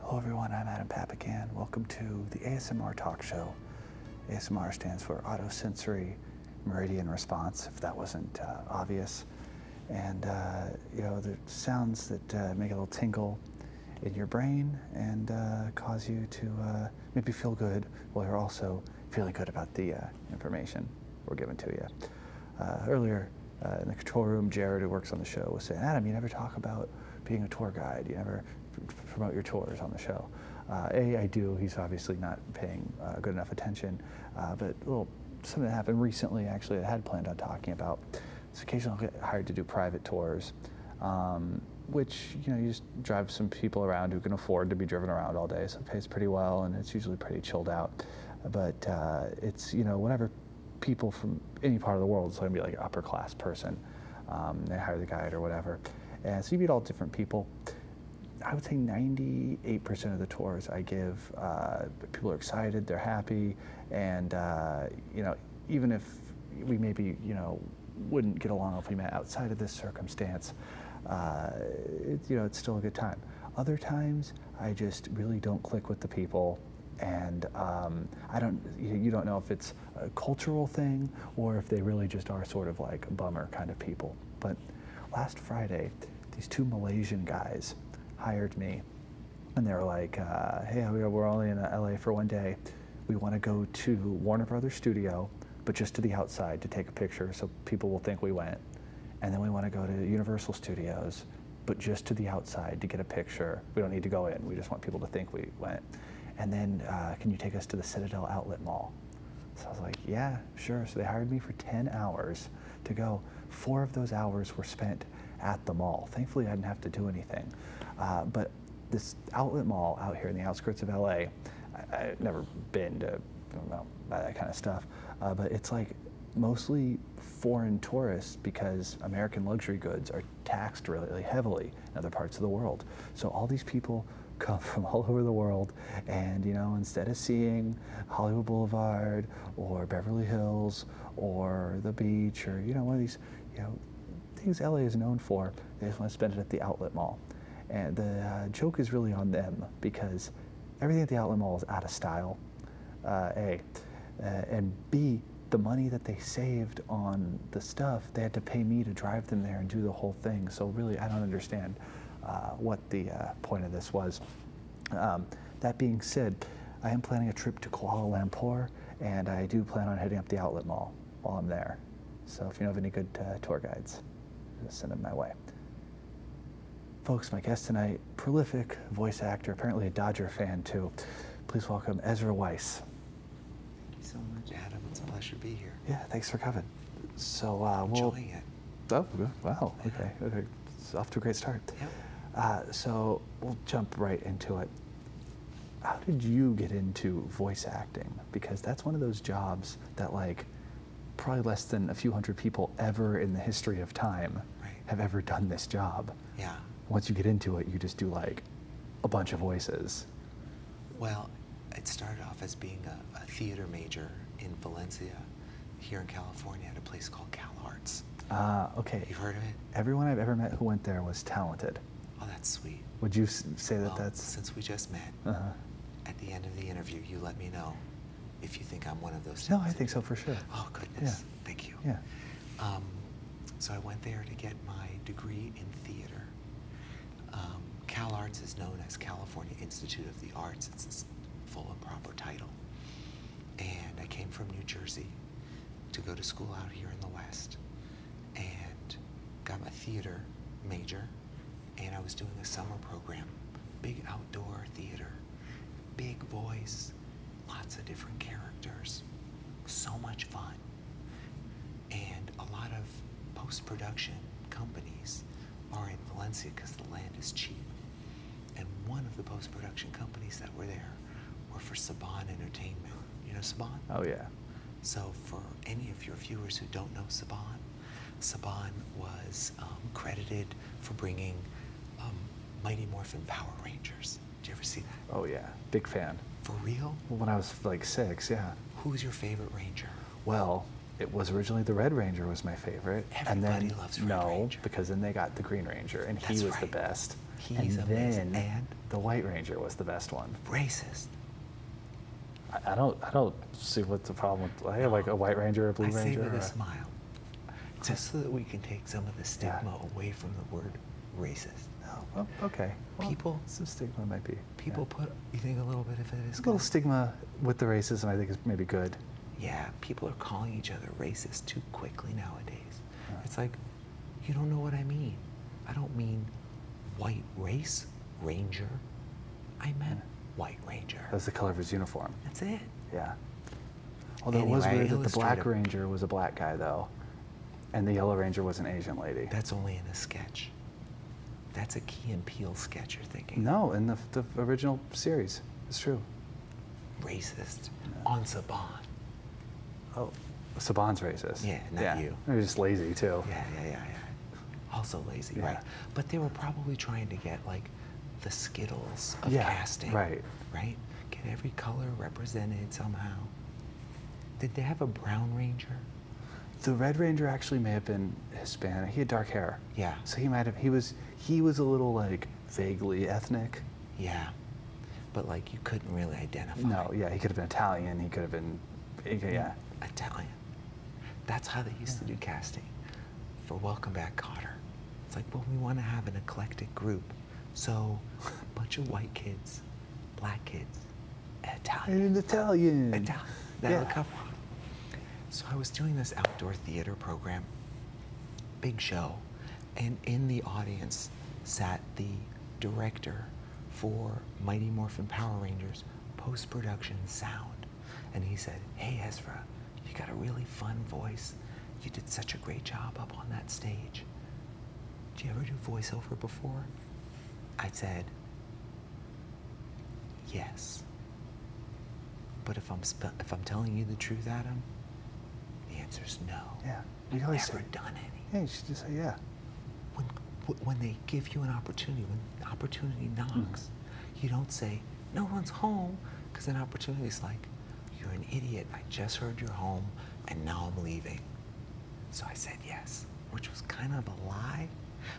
Hello everyone, I'm Adam Papakan. Welcome to the ASMR Talk Show. ASMR stands for Autosensory Meridian Response, if that wasn't uh, obvious and uh, you know the sounds that uh, make a little tingle in your brain and uh, cause you to maybe feel good while you're also feeling good about the information we're giving to you. earlier in the control room, Jared, who works on the show, was saying, Adam, you never talk about being a tour guide. You never promote your tours on the show. a, I do. He's obviously not paying good enough attention. but little something that happened recently, actually, I had planned on talking about. So occasionally i get hired to do private tours, um, which, you know, you just drive some people around who can afford to be driven around all day. So it pays pretty well, and it's usually pretty chilled out. But uh, it's, you know, whenever people from any part of the world, so i can be like upper class person, um, they hire the guide or whatever. And so you meet all different people. I would say 98% of the tours I give uh, people are excited. They're happy, and uh, you know, even if we maybe you know wouldn't get along if we met outside of this circumstance, uh, you know, it's still a good time. Other times, I just really don't click with the people and um, I don't, you don't know if it's a cultural thing or if they really just are sort of like bummer kind of people. But last Friday, these two Malaysian guys hired me and they were like, uh, "Hey, we're only in uh, LA for one day. We want to go to Warner Brothers Studio, but just to the outside to take a picture, so people will think we went. And then we want to go to Universal Studios, but just to the outside to get a picture. We don't need to go in. We just want people to think we went. And then, uh, can you take us to the Citadel Outlet Mall?" So I was like, "Yeah, sure." So they hired me for ten hours to go. Four of those hours were spent at the mall. Thankfully, I didn't have to do anything. Uh, but this outlet mall out here in the outskirts of LA, I, have never been to that kind of stuff, uh, but it's like mostly foreign tourists because American luxury goods are taxed really heavily in other parts of the world. So all these people come from all over the world and you know instead of seeing Hollywood Boulevard or Beverly Hills or the beach or, you know, one of these, you know, things LA is known for. They just want to spend it at the outlet mall. And the uh, joke is really on them because everything at the outlet mall is out of style, uh, A. Uh, and B, the money that they saved on the stuff, they had to pay me to drive them there and do the whole thing. So really, I don't understand what the point of this was. Um, that being said, I am planning a trip to Kuala Lumpur, and I do plan on heading up the outlet mall while I'm there. So if you know of any good uh, tour guides, send them my way. Folks, my guest tonight, prolific voice actor, apparently a Dodger fan too. Please welcome Ezra Weiss. Thank you so much, Adam. It's a pleasure to be here. Yeah, thanks for coming. So uh, Enjoying it. Oh, wow. Okay. okay it's off to a great start. Uh, so we'll jump right into it. How did you get into voice acting? Because that's one of those jobs that, like, probably less than a few hundred people ever in the history of time have ever done this job. Yeah. Once you get into it, you just do like a bunch of voices. Well, it started off as being a theater major in Valencia here in California at a place called Cal Arts. Ah, okay. You've heard of it? Everyone I've ever met who went there was talented. Oh, that's sweet. Would you say that that's. Since we just met, uh -huh. at the end of the interview, you let me know if you think I'm one of those. No, I think so for sure. Oh, goodness. Thank you. Yeah. Um, so I went there to get my degree in theater. Um, Cal Arts is known as California Institute of the Arts full of proper title. And I came from New Jersey to go to school out here in the West and got my theater major and I was doing a summer program, big outdoor theater, big voice, lots of different characters, so much fun. And a lot of post-production companies are in Valencia because the land is cheap. And one of the post production companies that were there were for Saban Entertainment. You know Saban? Oh, yeah. So, for any of your viewers who don't know Saban, Saban was um, credited for bringing um, Mighty Morphin Power Rangers. Did you ever see that? Oh, yeah. Big fan. For real? when I was like six, yeah. Who's your favorite Ranger? Well, it was originally the Red Ranger was my favorite. Everybody and loves Red no, because then they got the Green Ranger, and he was the best. He's and amazing. Then the White Ranger was the best one. Racist. I, don't. I don't see what the problem. With, I have like a White Ranger, a Blue Ranger. I say with a smile, just so that we can take some of the stigma away from the word racist. No. Oh, okay. people. Some stigma might be. People put. You think a little bit of it is. A little stigma with the racism, I think, is maybe good. Yeah, people are calling each other racist too quickly nowadays. It's like, you don't know what I mean. I don't mean white race, ranger. I meant white ranger. That's the color of his uniform. That's it. Yeah. Although it was weird that the black ranger was a black guy, though, and the yellow ranger was an Asian lady. That's only in the sketch. That's a Key and Peele sketch you're thinking. No, in the original series. It's true. Racist on Saban. Oh, Saban's racist. Yeah, not you. They're just lazy too. Yeah, yeah, yeah, yeah. Also lazy, right? But they were probably trying to get like the skittles of casting. Right. Right? Get every color represented somehow. Did they have a brown ranger? The Red Ranger actually may have been Hispanic. He had dark hair. Yeah. So he might have. He was. He was a little like vaguely ethnic. Yeah, but like you couldn't really identify. No, yeah, he could have been Italian. He could have been, yeah. Italian. That's how they used to do casting for Welcome Back, Cotter. It's like, well, we want to have an eclectic group, so a bunch of white kids, black kids, Italian. Italian. Italian. yeah. So I was doing this outdoor theater program, big show, and in the audience sat the director for Mighty Morphin Power Rangers post production sound. And he said, Hey, Ezra, you got a really fun voice. You did such a great job up on that stage. Did you ever do voiceover before? I said, Yes. But if I'm, if I'm telling you the truth, Adam, the answer is no. Yeah. You I've never done any. Hey, you just say yeah. When, when they give you an opportunity, when opportunity knocks, hmm. you don't say, no one's home, because an opportunity is like, you're an idiot. I just heard you're home, and now I'm leaving. So I said yes, which was kind of a lie,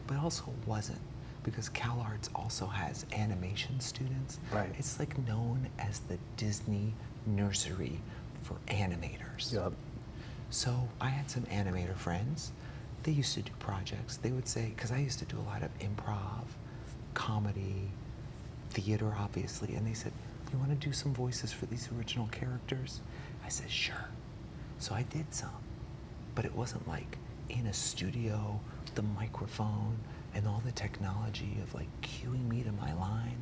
but also wasn't because CalArts also has animation students. Right. It's like known as the Disney nursery for animators. Yep. So I had some animator friends. They used to do projects. They would say, because I used to do a lot of improv, comedy, theater, obviously. And they said, You want to do some voices for these original characters? I said, Sure. So I did some. But it wasn't like in a studio, with the microphone, and all the technology of like cueing me to my line.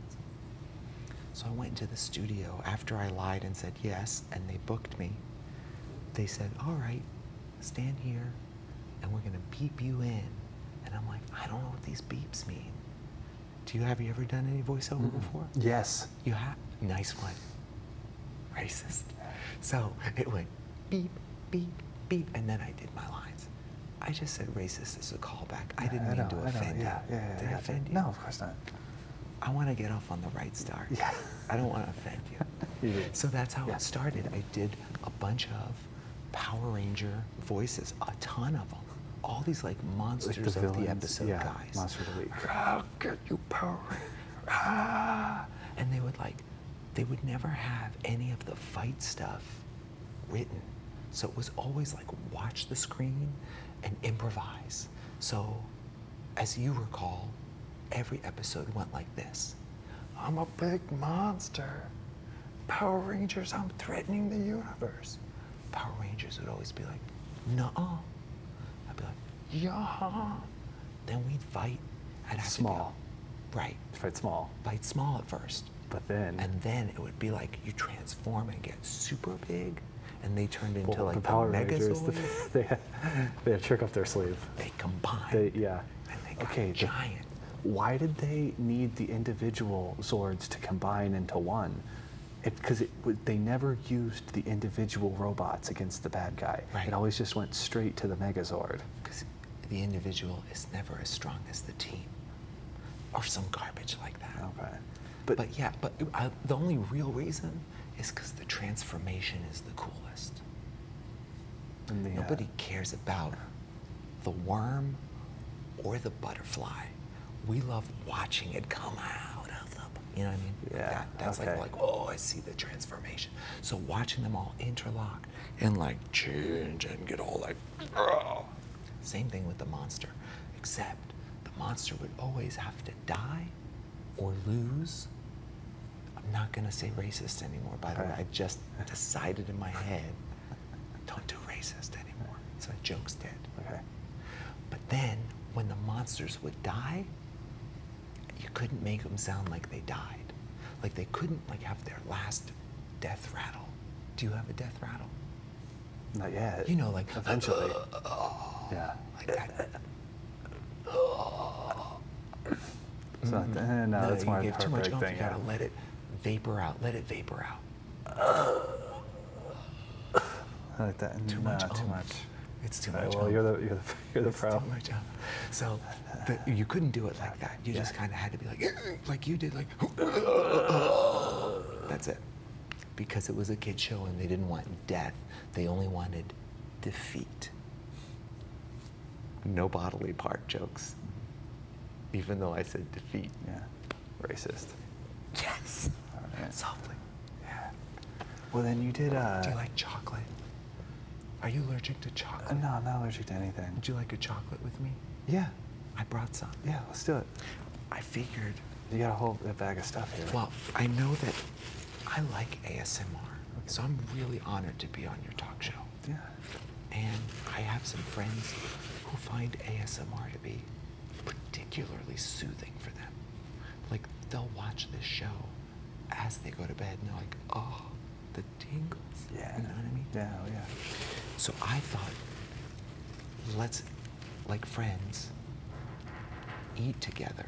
So I went into the studio after I lied and said yes, and they booked me. They said, All right, stand here and we're going to beep you in. And I'm like, I don't know what these beeps mean. Do you have you ever done any voiceover before? Yes. You have? Nice one. Racist. So it went beep, beep, beep, and then I did my lines. I just said racist is a callback. I didn't mean to offend you. No, of course not. I want to get off on the right start. Yeah. I don't want to offend you. so that's how it started. I did a bunch of Power Ranger voices, a ton of them. All these like monsters of the episode guys. Monster of the week. I'll get you Power Ranger. Ah! And they would like, they would never have any of the fight stuff written. So it was always like watch the screen and improvise. So, as you recall, every episode went like this I'm a big monster. Power Rangers, I'm threatening the universe. Power Rangers would always be like, nuh I'd be like, yeah. Then we'd fight. I'd have small. To right. Fight small. Fight small at first. But then. And then it would be like you transform and get super big. And they turned into like the, the Power Rangers. they, have, they have trick up their sleeve. They combine. They, yeah. they got okay, giant. why did they need the individual Zords to combine into one? Because they never used the individual robots against the bad guy. It always just went straight to the Megazord. Because the individual is never as strong as the team or some garbage like that. Okay. But, yeah, but uh, the only real reason is because the transformation is the coolest. Uh, Nobody cares about the worm or the butterfly. We love watching it come out of the, you know what I mean? Yeah. that's like, like, oh, I see the transformation. So watching them all interlock and like change and get all like, same thing with the monster, except the monster would always have to die or lose. I'm not going to say racist anymore, by the way. I just decided in my head, don't do racist anymore. So that joke's dead. Okay. But then, when the monsters would die, you couldn't make them sound like they died. Like they couldn't like have their last death rattle. Do you have a death rattle? Not yet. You know, like eventually. Uh, yeah. Like that. It's not, mm-hmm. eh, uh, no, no, that's you my gave too much. you yeah. gotta let it vapor out. Let it vapor out. I like that. Too much. Too much. It's too much. Well, oomph. you're the you're the you're the it's Too much So you couldn't do it like that. You just kind of had to be like like you did. Like that's it. Because it was a kid show and they didn't want death, they only wanted defeat. No bodily part jokes. Even though I said defeat. Yeah. Racist. Yes. Softly. Yeah. Well, then you did. Uh... Do you like chocolate? Are you allergic to chocolate? Uh, no, I'm not allergic to anything. Would you like a chocolate with me? Yeah. I brought some. Yeah, let's do it. I figured. You got a whole bag of stuff here. Well, I know that I like ASMR, so I'm really honored to be on your talk show. Yeah. And I have some friends who find ASMR to be particularly soothing for them. Like, they'll watch this show as they go to bed and they're like, oh, the tingles. Yeah. You know what I mean? Yeah, oh, yeah. So I thought let's, like friends, eat together.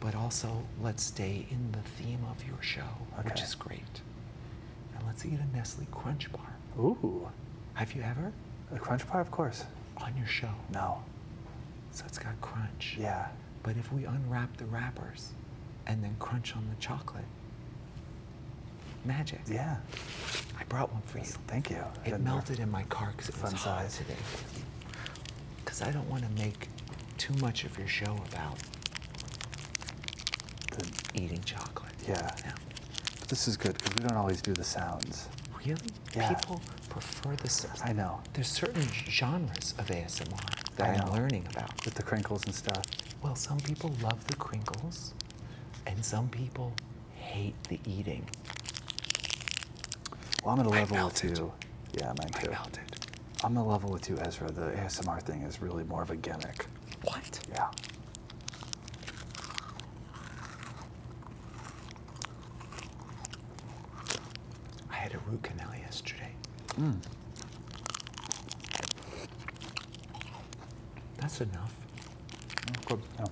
But also, let's stay in the theme of your show, which is great. And let's eat a Nestle Crunch Bar. Ooh. Have you ever? A Crunch Bar, of course. On your show? No. So it's got crunch. Yeah. But if we unwrap the wrappers and then crunch on the chocolate, Magic. Yeah. I brought one for you. Thank you. It melted in my car because it was Fun size. today. Because I don't want to make too much of your show about eating chocolate. Yeah. yeah. This is good because we don't always do the sounds. Really? Yeah. People prefer the sounds. I know. There's certain genres of ASMR that I'm learning about. With the crinkles and stuff. Well, some people love the crinkles, and some people hate the eating. Well, I'm at a level with you. Yeah, mine too. I'm at to level with you, Ezra. The ASMR thing is really more of a gimmick. What? Yeah. I had a root canal yesterday. Mm. That's enough. Good. Yeah.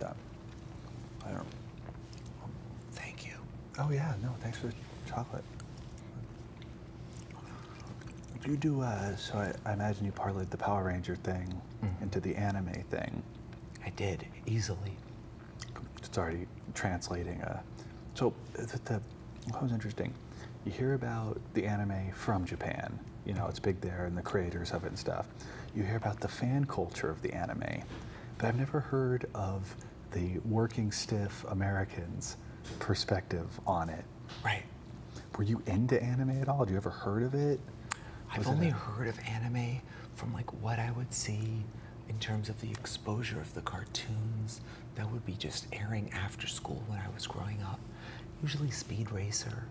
that. I don't. Oh, thank you. Oh yeah. No. Thanks for the chocolate. You do. Uh, so I, imagine you parlayed the Power Ranger thing mm-hmm. into the anime thing. I did easily. It's already translating. Uh, so the, the, interesting? You hear about the anime from Japan you know, it's big there and the creators of it and stuff. You hear about the fan culture of the anime, but I've never heard of the working stiff Americans perspective on it. Right. Were you into anime at all? Did you ever heard of it? I've only heard of anime from like what I would see in terms of the exposure of the cartoons that would be just airing after school when I was growing up. Usually Speed Racer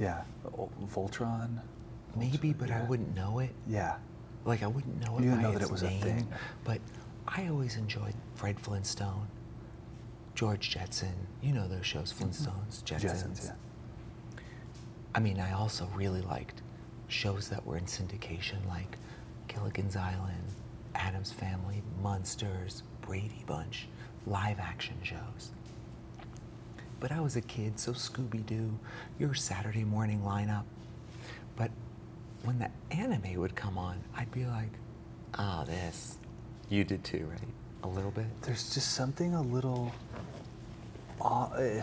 yeah. Voltron. Maybe, but I wouldn't know it. Yeah. Like I wouldn't know it. You didn't know that it was a thing. But I always enjoyed Fred Flintstone, George Jetson. You know those shows, mm-hmm. Flintstones, Jetsons. Jetsons yeah. I mean, I also really liked shows that were in syndication, like Gilligan's Island, Adam's Family, Monsters, Brady Bunch live action shows. But I was a kid, so Scooby Doo, your Saturday morning lineup. But when the anime would come on, I'd be like, ah, oh, this. You did too, right? A little bit? There's just something a little. Uh,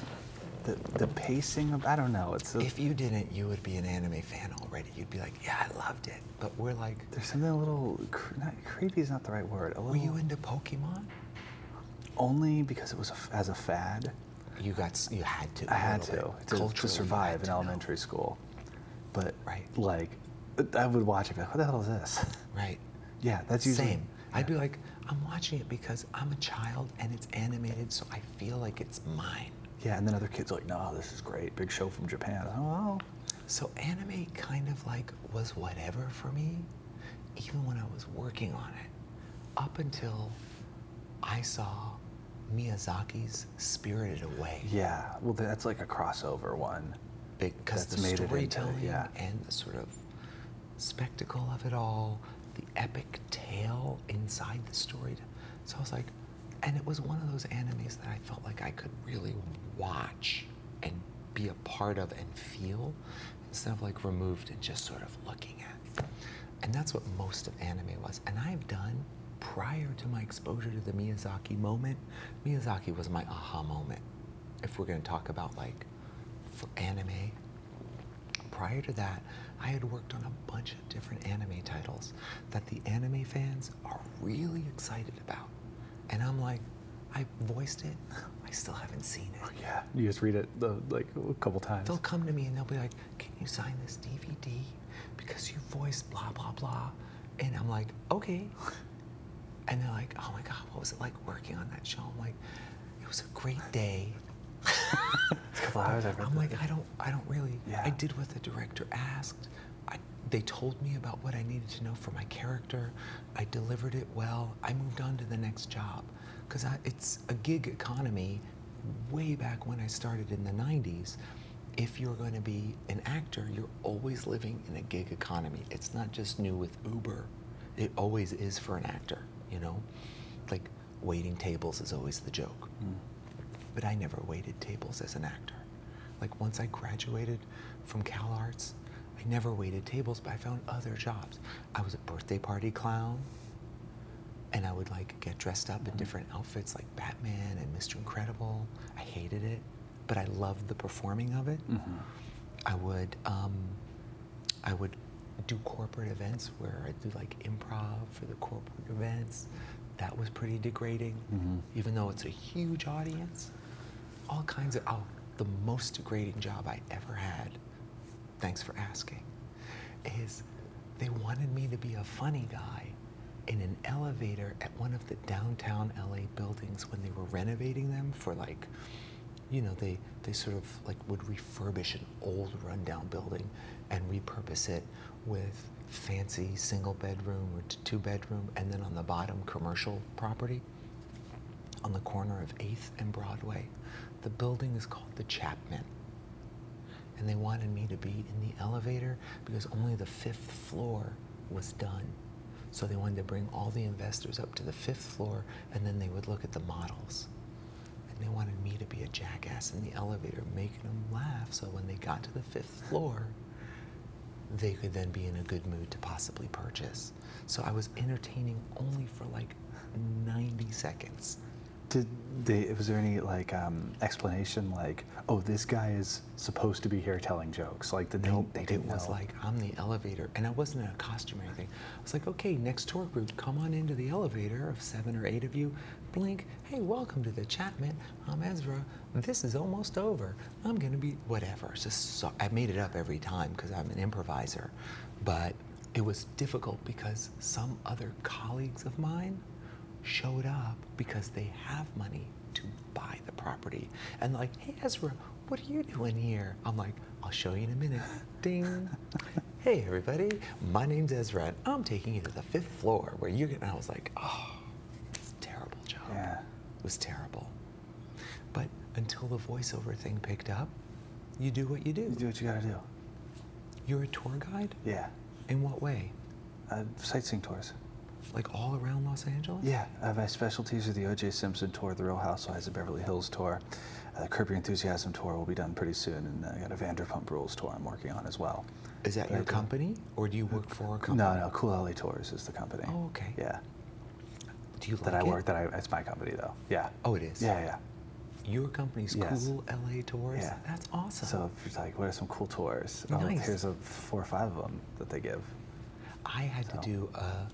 the, the pacing of, I don't know. It's If you didn't, you would be an anime fan already. You'd be like, yeah, I loved it. But we're like, there's something a little not, creepy is not the right word. were you into Pokemon? Only because it was as a fad. You got you had to. I had to to, survive in elementary school, but right like I would watch it like, what the hell is this? Right. Yeah, that's usually same. I'd be like, I'm watching it because I'm a child and it's animated, so I feel like it's mine. Yeah, and then other kids are like, no, this is great, big show from Japan. Oh, so anime kind of like was whatever for me, even when I was working on it, up until I saw Miyazaki's Spirited Away. Yeah, well, that's like a crossover one. Because the storytelling yeah. and the sort of spectacle of it all, the epic tale inside the story. So I was like, and it was one of those animes that I felt like I could really watch and be a part of and feel instead of like removed and just sort of looking at. And that's what most of anime was. And I've done prior to my exposure to the Miyazaki moment, Miyazaki was my aha moment. If we're going to talk about like for anime, prior to that, I had worked on a bunch of different anime titles that the anime fans are really excited and I'm like, I voiced it. I still haven't seen it. Oh, yeah, you just read it like a couple times. They'll come to me and they'll be like, "Can you sign this DVD because you voiced blah blah blah," and I'm like, "Okay." And they're like, "Oh my God, what was it like working on that show?" I'm like, "It was a great day." a couple hours. I'm like, I don't, I don't really. Yeah. I did what the director asked. I, they told me about what I needed to know for my character. I delivered it well. I moved on to the next job because it's a gig economy way back when I started in the 90s. If you're going to be an actor, you're always living in a gig economy. It's not just new with Uber. It always is for an actor, you know? Like waiting tables is always the joke. Mm. But I never waited tables as an actor. Like once I graduated from Cal Arts, I never waited tables, but I found other jobs. I was a birthday party clown, and I would like get dressed up in mm-hmm. different outfits like Batman and Mr. Incredible. I hated it, but I loved the performing of it. Mm-hmm. I would, um, I would do corporate events where I do like improv for the corporate events. That was pretty degrading, mm-hmm. even though it's a huge audience all kinds of, oh, the most degrading job I ever had, thanks for asking, is they wanted me to be a funny guy in an elevator at one of the downtown LA buildings when they were renovating them for like, you know, they, they sort of like would refurbish an old rundown building and repurpose it with fancy single bedroom or two bedroom and then on the bottom commercial property on the corner of 8th and Broadway. The building is called the Chapman. And they wanted me to be in the elevator because only the fifth floor was done. So they wanted to bring all the investors up to the fifth floor and then they would look at the models. And they wanted me to be a jackass in the elevator, making them laugh so when they got to the fifth floor, they could then be in a good mood to possibly purchase. So I was entertaining only for like 90 seconds. Did they, was there any like um, explanation like, oh, this guy is supposed to be here telling jokes? Like, the nope, it was like, I'm the elevator. And I wasn't in a costume or anything. I was like, okay, next tour group, come on into the elevator of seven or eight of you. Blink, hey, welcome to the Chapman. I'm Ezra. This is almost over. I'm going to be whatever. just so, I made it up every time because I'm an improviser. But it was difficult because some other colleagues of mine showed up because they have money to buy the property. And like, hey, Ezra, what are you doing here? I'm like, I'll show you in a minute. Ding. hey, everybody, my name's Ezra, and I'm taking you to the fifth floor where you can. And I was like, oh, it's terrible job. Yeah. It was terrible. But until the voiceover thing picked up, you do what you do. You do what you gotta do. You're a tour guide? Yeah. In what way? Uh, sightseeing tours. Like all around Los Angeles? Yeah. Uh, my specialties are the O.J. Simpson tour, the Real Housewives of Beverly Hills tour. Uh, the Kirby Enthusiasm tour will be done pretty soon, and I got a Vanderpump Rules tour I'm working on as well. Is that your company, or do you work for a company? No, no, Cool Alley Tours is the company. Oh, okay. Yeah that I work that I it's my company though. Yeah. Oh, it is. Yeah, yeah. Your company's cool LA tours. Yeah, that's awesome. So if you're like, what are some cool tours? Oh, nice. here's four or five of them that they give. I had to do a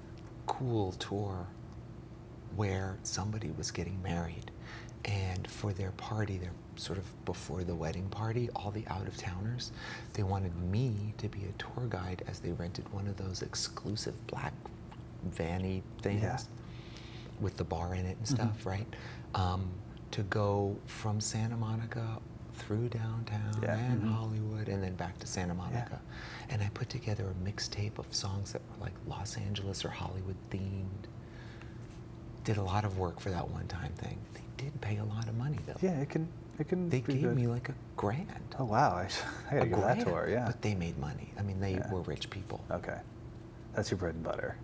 cool tour where somebody was getting married, and for their party, their sort of before the wedding party, all the out of towners, they wanted me to be a tour guide as they rented one of those exclusive black vanny things with the bar in it and mm-hmm. stuff, right? Um, to go from Santa Monica through downtown and mm-hmm. Hollywood and then back to Santa Monica. And I put together a mixtape of songs that were like Los Angeles or Hollywood themed. Did a lot of work for that one time thing. They did pay a lot of money though. Yeah, it can it can They gave me like a grand. Oh wow! I, I a grand. tour, Yeah. But they made money. I mean, they were rich people. Okay, that's your bread and butter.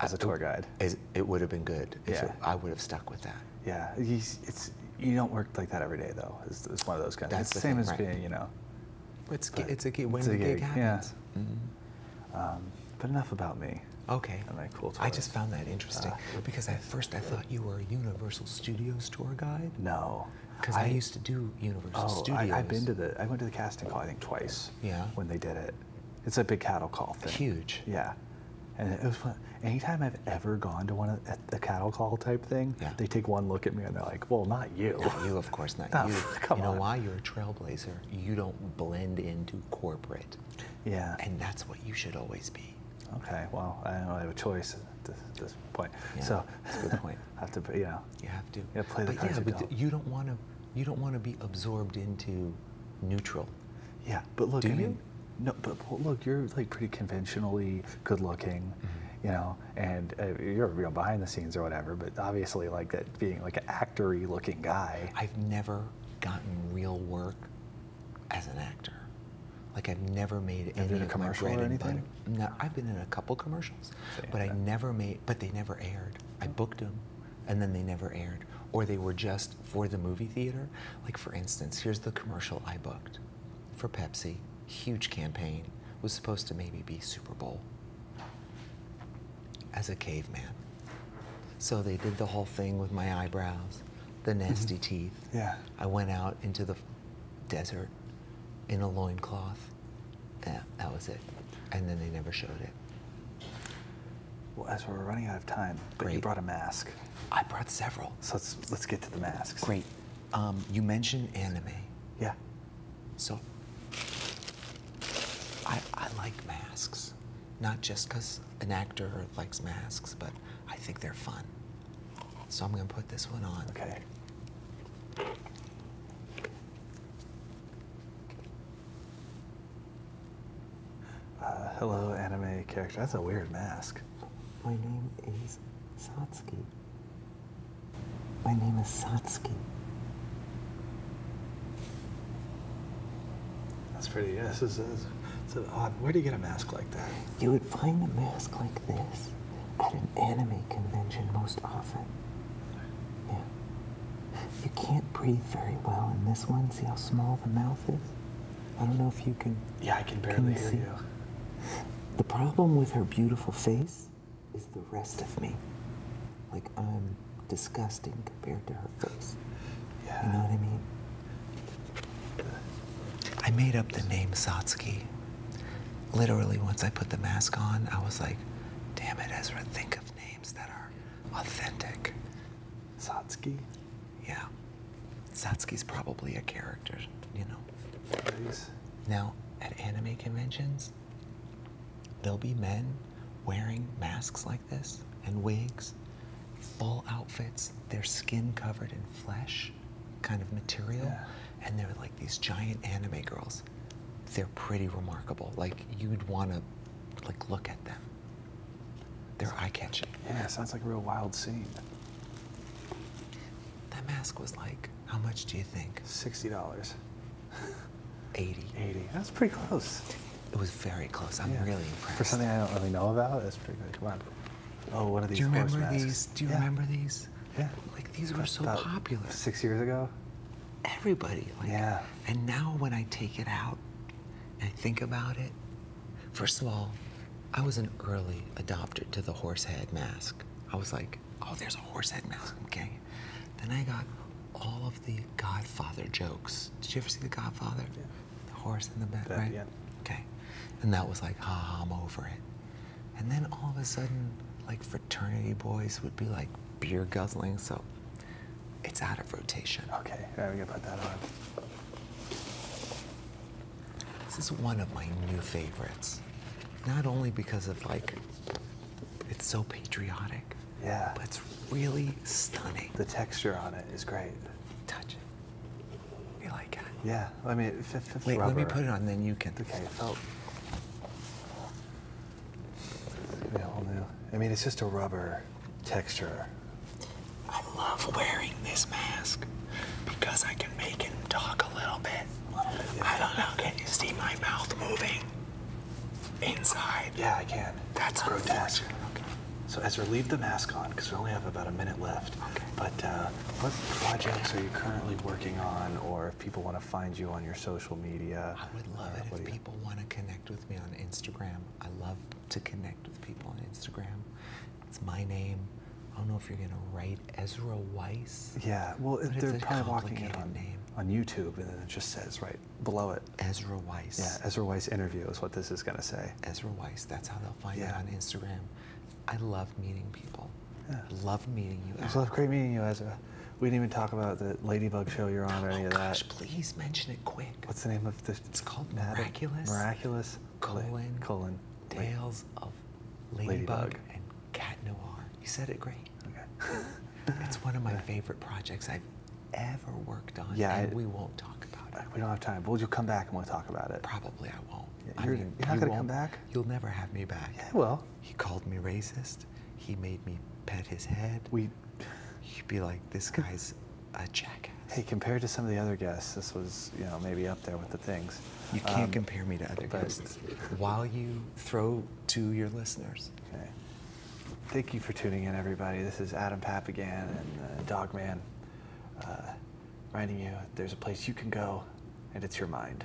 As a tour guide, it, would have been good. yeah. I would have stuck with that. Yeah, it's you don't work like that every day though. It's, one of those kind. Of, it's the same thing, as being, you know. It's it's a gig when it's a gig, happens. Yeah. Mm-hmm. Um, but enough about me. Okay. i cool tourist. I just found that interesting uh, because at first I thought you were a Universal Studios tour guide. No. Because I, used to do Universal oh, I, have been to the. I went to the casting call I think twice. Yeah. When they did it, it's a big cattle call thing. Huge. Yeah. And it was fun. Anytime I've ever gone to one of the a cattle call type thing, they take one look at me and they're like, "Well, not you. you, of course, not you. you know why? You're a trailblazer. You don't blend into corporate. Yeah. And that's what you should always be. Okay. Well, I don't have a choice at this, point. so that's a good point have to, you know. You have to. play but yeah, you but don't. you don't want to. You don't want to be absorbed into neutral. Yeah, but look, I mean, you? no, but look, you're like pretty conventionally good-looking, mm-hmm. you know, and uh, you're real behind the scenes or whatever. But obviously, like that being like an actory-looking guy. I've never gotten real work as an actor. Like I've never made any a commercial or anything. No, I've been in a couple commercials, but I never made. But they never aired. I oh. booked them, and then they never aired, or they were just for the movie theater. Like for instance, here's the commercial I booked for Pepsi. Huge campaign was supposed to maybe be Super Bowl. As a caveman, so they did the whole thing with my eyebrows, the mm-hmm. nasty teeth. Yeah. I went out into the desert in a loincloth. Yeah, that was it. And then they never showed it. Well, as we're running out of time, but Great. you brought a mask. I brought several. So let's let's get to the masks. Great. Um, you mentioned anime. Yeah. So I I like masks, not just because an actor likes masks, but I think they're fun. So I'm going to put this one on. Okay. Uh, hello, anime character. That's a weird mask. My name is Satsuki. My name is Satsuki. That's pretty. Yes, yeah, this odd. Where do you get a mask like that? You would find a mask like this at an anime convention most often. Yeah. You can't breathe very well in this one. See how small the mouth is? I don't know if you can. Yeah, I can barely see? The problem with her beautiful face is the rest of me. Like, I'm disgusting compared to her face. Yeah. You know what I mean? I made up the name Satsuki literally once I put the mask on, I was like, damn it, Ezra, think of names that are authentic. Satsuki. Yeah. Satsuki's probably a character, you know. Now, at anime conventions, there'll be men wearing masks like this and wigs, full outfits, their skin covered in flesh kind of material and they're like these giant anime girls. They're pretty remarkable. Like you'd want to, like look at them. They're eye-catching. Yeah, sounds like a real wild scene. That mask was like, how much do you think? Sixty dollars. 80. 80. That's pretty close. It was very close. I'm really impressed. For something I don't really know about, that's pretty good. Come on. Oh, one of these. Do you remember these? Do you remember these? Yeah. Like these were so popular. Six years ago? Everybody. yeah. And now when I take it out and I think about it, first of all, I was an early adopter to the horse head mask. I was like, oh, there's a horse head mask, okay. Then I got all of the Godfather jokes. Did you ever see The Godfather? Yeah. The horse in the bed, right? Yeah. Okay. And that was like, ha, ha, I'm over it. And then all of a sudden, like fraternity boys would be like beer guzzling, so it's out of rotation. Okay, I'm going to put that on. This is one of my new favorites. Not only because of like, it's so patriotic. Yeah. But it's really stunning. The texture on it is great. Touch it. You like it? Yeah. Let me. Wait, let me put it on, then you can. Okay. I mean, it's just a rubber texture. I love wearing this mask because I can make him talk a little bit. I don't know. Can you see my mouth moving inside? Yeah, I can. That's grotesque. Okay. So Ezra, leave the mask on because we only have about a minute left. But uh, what projects are you currently working on, or if people want to find you on your social media? I would love uh, it if people want to connect with me on Instagram. I love to connect with people on Instagram. It's my name. I don't know if you're gonna write Ezra Weiss. Yeah, well, they're probably walking on YouTube, and then it just says right below it. Ezra Weiss. Yeah, Ezra Weiss interview is what this is gonna say. Ezra Weiss. That's how they'll find you on Instagram. I love meeting people. Yeah. Loved meeting you. It was great meeting you, Ezra. We didn't even talk about the Ladybug show you're on or any oh, of that. please mention it quick. What's the name of this? It's called Miraculous. Miraculous. Colon. Colon. Tales of Ladybug, and Cat Noir. You said it great. Okay. it's one of my favorite projects I've ever worked on. Yeah. we won't talk about it. We don't have time. Will you come back and we'll talk about it? Probably I won't. you're, not going to come back? You'll never have me back. Yeah, well. He called me racist. He made me pet his head. We. He'd be like, this guy's a jackass. Hey, compared to some of the other guests, this was, you know, maybe up there with the things. You can't um, compare me to other guests. While you throw to your listeners. Okay. Thank you for tuning in, everybody. This is Adam Papagan and uh, Dog Man, uh, reminding you there's a place you can go, and it's your mind.